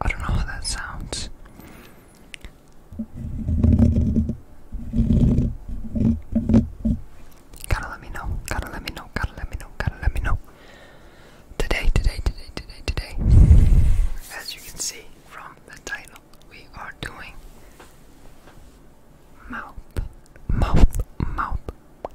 I don't know how that sounds. Gotta let me know, gotta let me know, gotta let me know, gotta let me know. Today, today, today, today, today, as you can see from the title, we are doing mouth, mouth, mouth,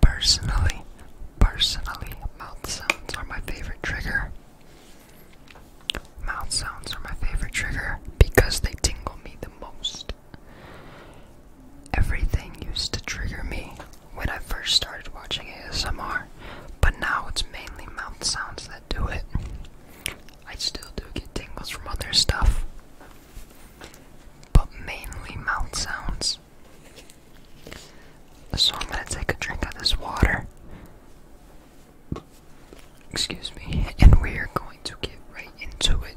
Personally, personally, mouth sounds are my favorite trigger. Mouth sounds are my favorite trigger because they tingle me the most. Everything used to trigger me when I first started watching ASMR, but now it's mainly mouth sounds that do it. I still do get tingles from other stuff but mainly mouth sounds. So I'm gonna take a drink of this water. Excuse me, and we are going to get right into it.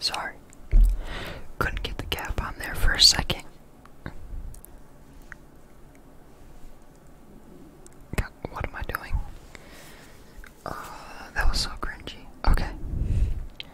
Sorry, couldn't get the cap on there for a second. what am I doing? Uh, that was so cringy. Okay.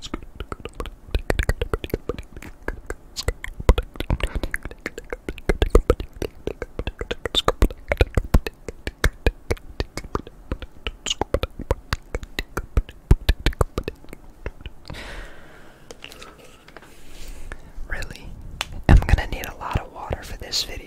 It's good, good, Really? I'm gonna need a lot of water for this video.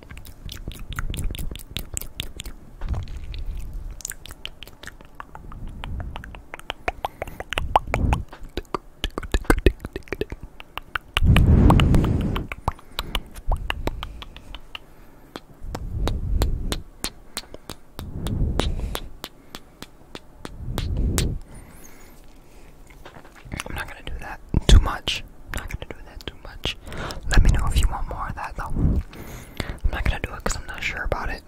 I'm not going to do that too much. I'm not gonna do that too much. Let me know if you want more of that though. I'm not gonna do it because I'm not sure about it.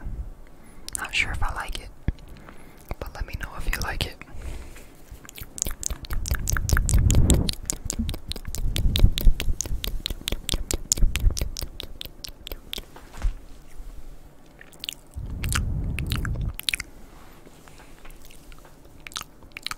Not sure if I like it. But let me know if you like it.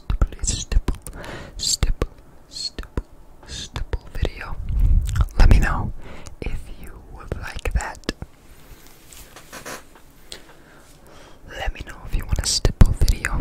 stipple, Let me know if you would like that. Let me know if you want a stipple video.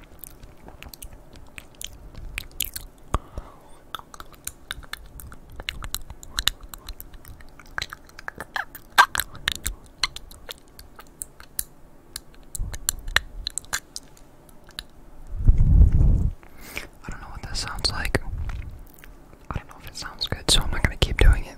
I don't know what that sounds like. I don't know if it sounds good, so I'm not going to keep doing it.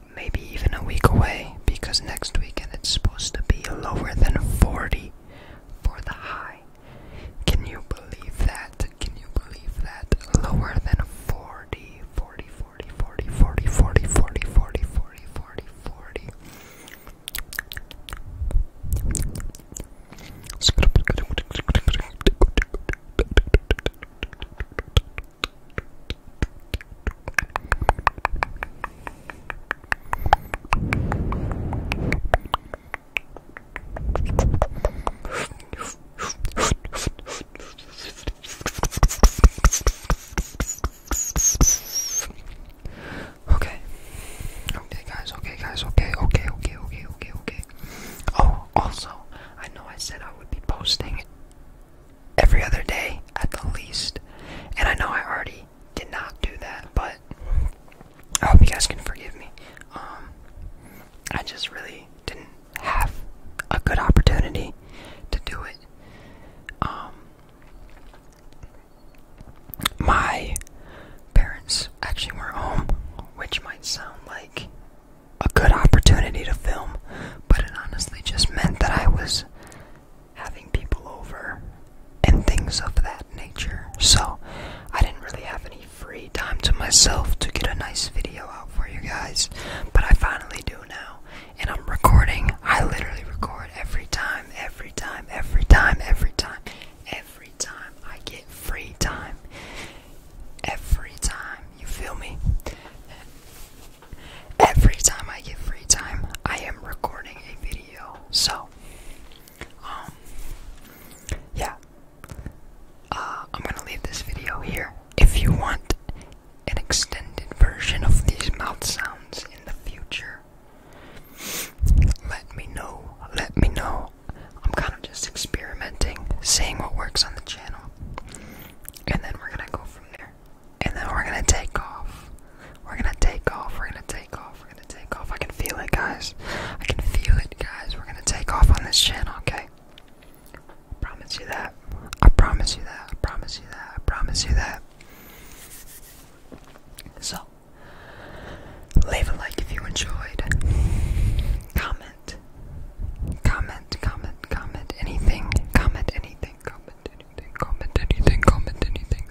maybe even a week away because next weekend it's supposed to be lower than 40 for the high. Can you believe that? Can you believe that? Lower than 40, 40, 40, 40, 40, 40, 40, 40, 40, 40, 40. Okay. Okay guys, okay guys, okay, okay, okay, okay, okay, okay. Oh, also, I know I said I would be posting every other day at the least. And I know I already did not do that, but I hope you guys can forgive me. Um, I just really didn't have a good opportunity to do it. Um, my parents actually were home, which might sound like a good opportunity to film, but it honestly just meant that I was having people over, and things of that nature. So, I didn't really have any free time to myself to get a nice video out for you guys, but I finally do now. And I'm recording. I literally record every time, every time, every time, every time, every time I get free time. Every time, you feel me? Every time I get free time, I am recording a video. So, um, yeah. Uh, I'm gonna leave this video here. If you want an extended version of these mouth sounds in the future, let me know. Let me know. I'm kind of just experimenting, seeing what works on the channel, and then we're gonna go from there and then we're gonna take off. We're gonna take off. We're gonna take off. We're gonna take off. I can feel it, guys. I can feel it, guys. We're gonna take off on this channel, okay? I promise you that. I promise you that. I promise you that. I promise you that. So, leave a like if you enjoyed. Comment. Comment, comment, comment anything. Comment anything. Comment anything anything, comment anything, comment anything.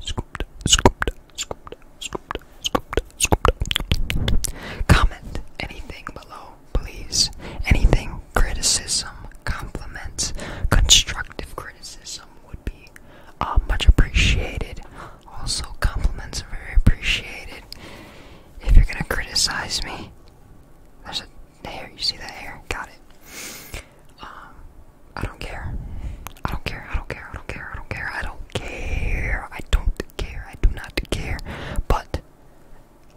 Scooped, scooped, scooped, scooped, scooped, scooped. Comment anything below, please. Anything, criticism, compliments, constructive criticism would be uh, much appreciated. Also, compliments are very appreciated. If you're gonna criticize me, there's a the hair, you see that hair? Got it. Um, I don't care. I don't care. I don't care. I don't care. I don't care. I don't care. I don't care. I do not care. But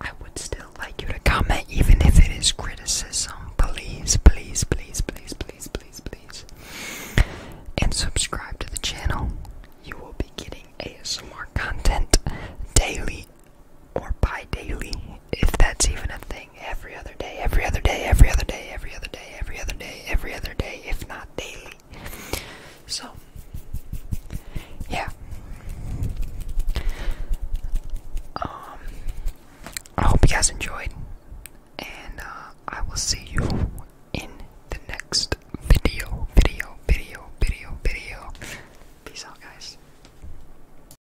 I would still like you to comment, even if it is criticism. Please, please, please, please, please, please, please. And subscribe to the channel. You will be getting ASMR content daily or bi daily, if that's even a thing, every other day, every other day, every other day, every other day, every other day, every other day, if not daily. So, yeah. Um, I hope you guys enjoyed, and uh, I will see you in the next video, video, video, video, video. Peace out, guys.